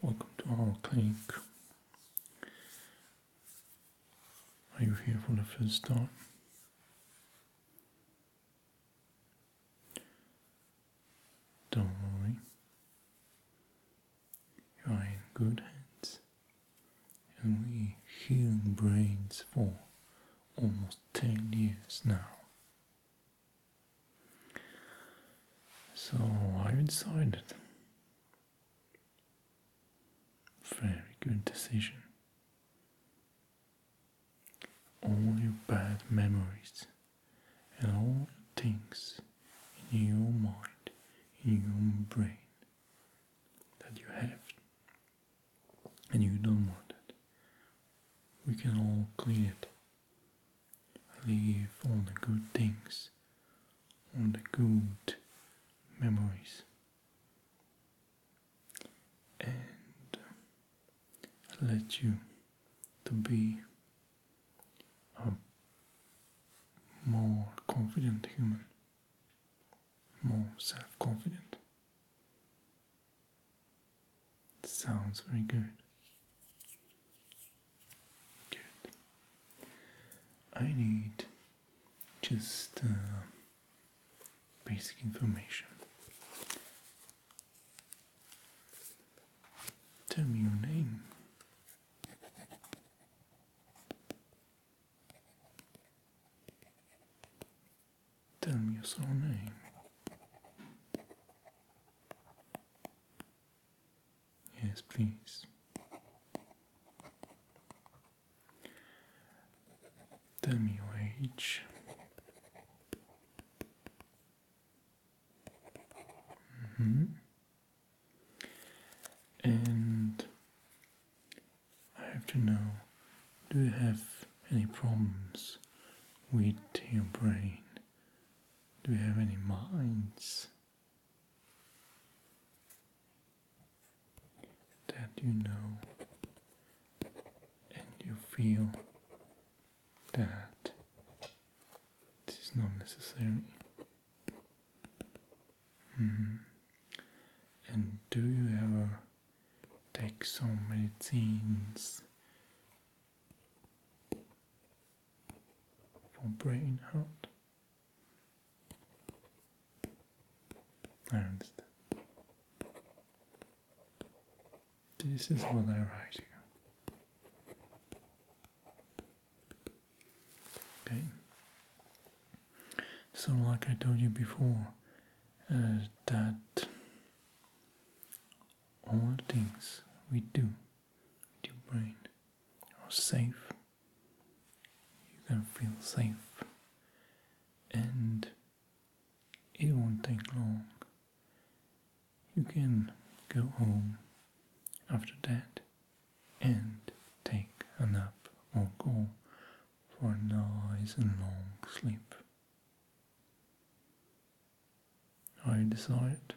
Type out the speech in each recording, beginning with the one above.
Welcome to our clinic. Are you here for the first time? Don't worry, you are in good hands, and we healing brains for almost ten years now. So I've Ironside, very good decision. All your bad memories and all things in your mind, in your brain that you have and you don't want it. We can all clean it Leave all the good things, all the good memories. And let you to be a more confident human, more self-confident. Sounds very good. Good. I need just uh, basic information. Tell me your name. Tell me your surname. Yes, please. Tell me your age. Mm -hmm. And I have to know do you have any problems with your brain? Do we have any minds that you know and you feel that this is not necessary? Mm-hmm. And do you ever take so many things? for brain heart. I understand. This is what I write here. Okay. So, like I told you before, uh, that all things we do your brain are safe. You can feel safe, and it won't take long. You can go home after that and take a nap or go for a nice and long sleep. I you decide.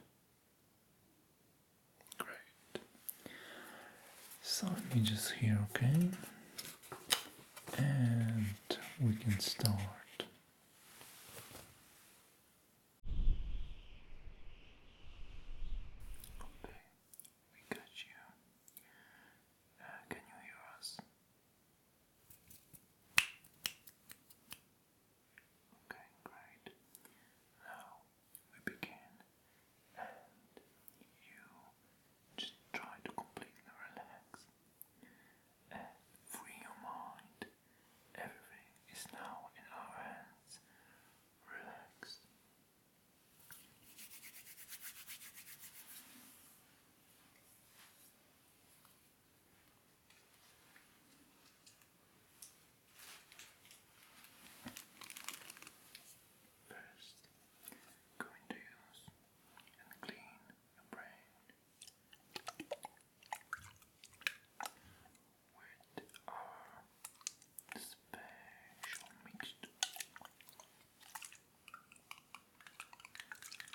Great. So let me just here, okay? And we can start. Uh, Okay, great. Now we begin, and you just try to completely relax and free your mind. Everything is now in our hands. Relax. First, go into yours and clean your brain with our special mixed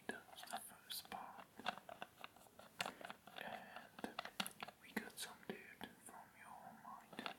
Zeta's the first part, and we got some dude from your mind.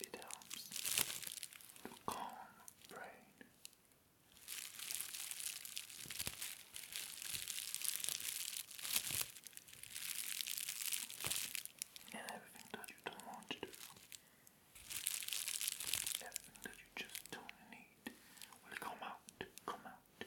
It helps to calm brain. And everything that you don't want to do, everything that you just don't need, will come out, come out.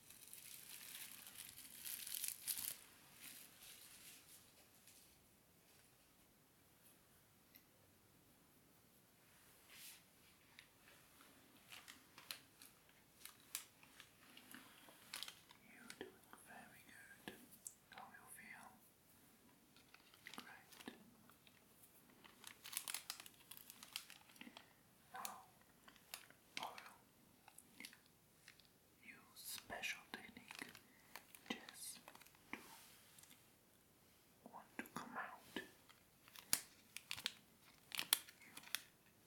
You're doing very good. How you feel? Great. Use special technique just to want to come out.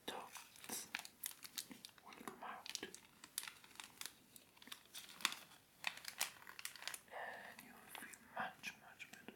thoughts will come out. And you will feel much, much better.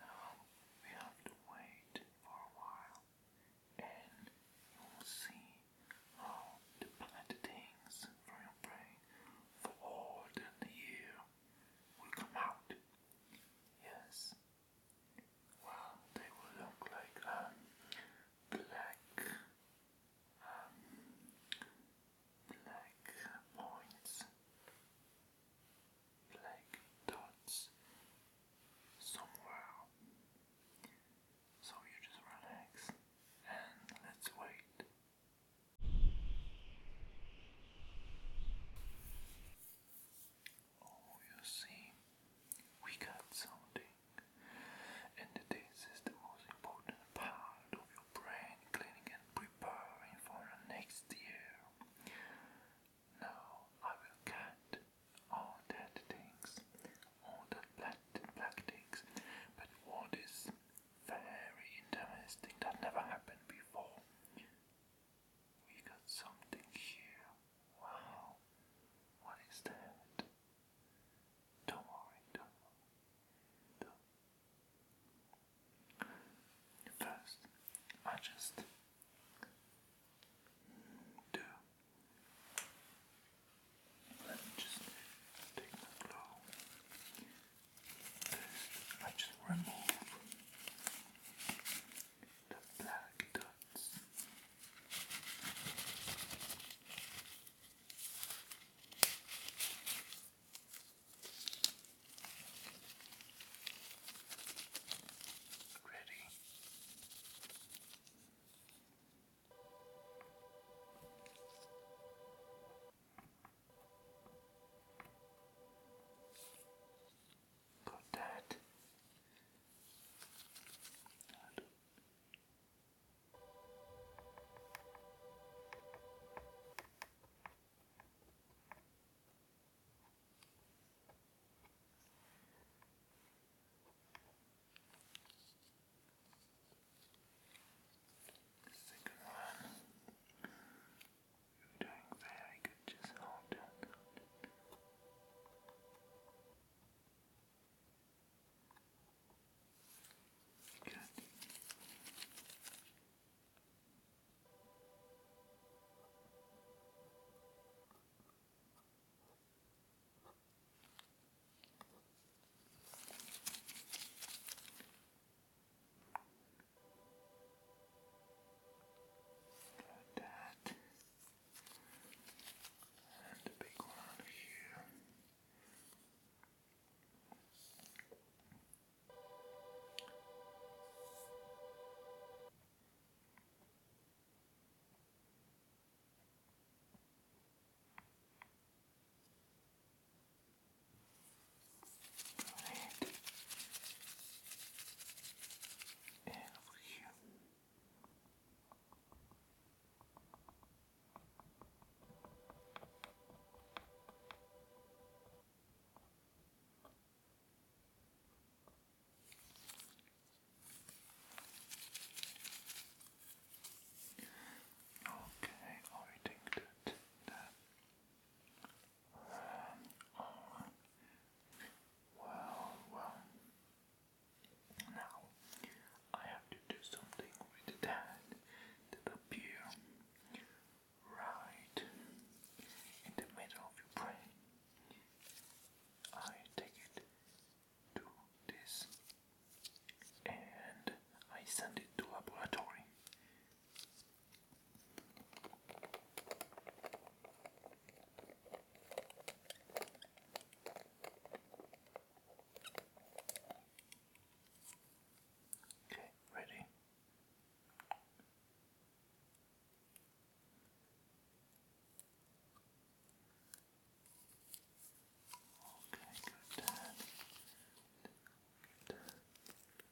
Now we have to wait for a while and you will see how the plant from your brain for all the year will come out. Yes, well, they will look like um, black, um, black points, black dots somewhere. So you just relax and let's wait. Oh, you see, we got something. And this is the most important part of your brain cleaning and preparing for next year. Now I will cut all that things, all that black, black things, but what is very interesting that never happened before. We got something here. Wow. What is that? Don't worry, don't worry. Don't. First, I just do. Let me just take my glove. I just remove the black Ready. Got that. Second one. You're doing very good. Just hold on. Good. Like that. And the big one here right and Okay, I think that that um, oh, well, well. Now, I have to do something with that that appear right in the middle of your brain. I take it to this and I send it to laboratory. Okay, ready. Okay, good. Good.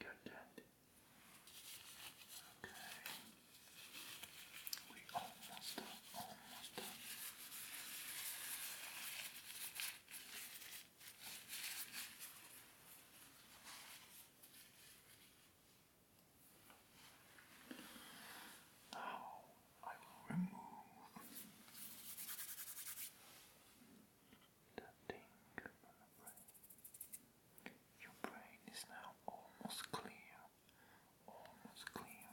Got that. Okay. We almost done, almost done. Now I will remove the thing from the brain. Your brain is now almost clear, almost clear,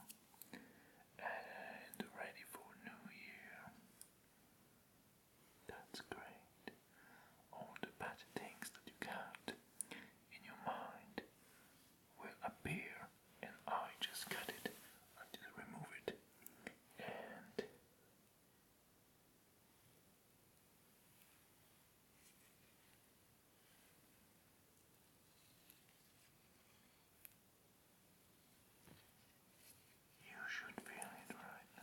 and ready for New Year. That's great. All the bad things that you got in your mind will appear, and I just cut it until I remove it. And you should feel it right now.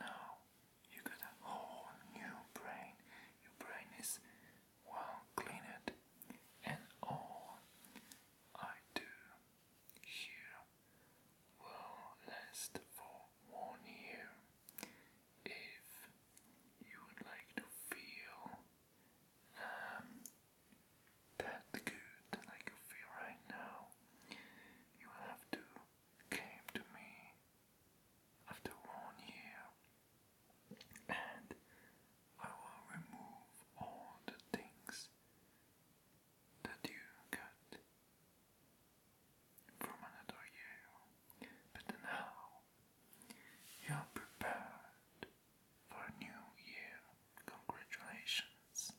Now you got a whole new brain. Your brain is while clean it, and all I do here will last for one year. If you would like to feel um, that good like you feel right now, you have to came to me after one year and I will remove all the things that you got from another year. But now you are prepared for a new year. Congratulations.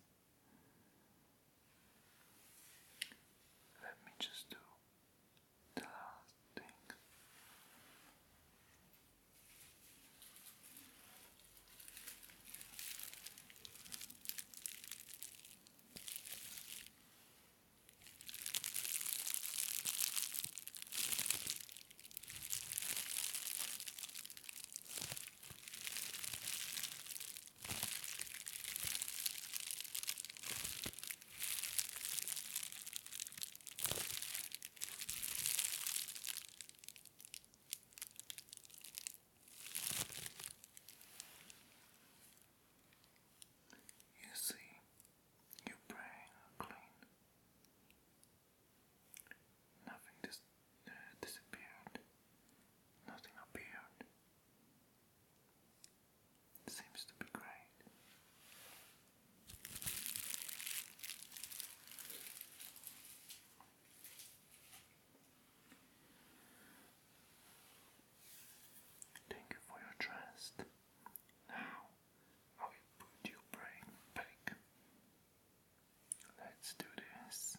Let me just do Fantastic. Good. You see, your brain are clean. Nothing uh, disappeared. Nothing appeared. Seems to be great. Thank you for your trust. Now I put your brain back. Let's do this.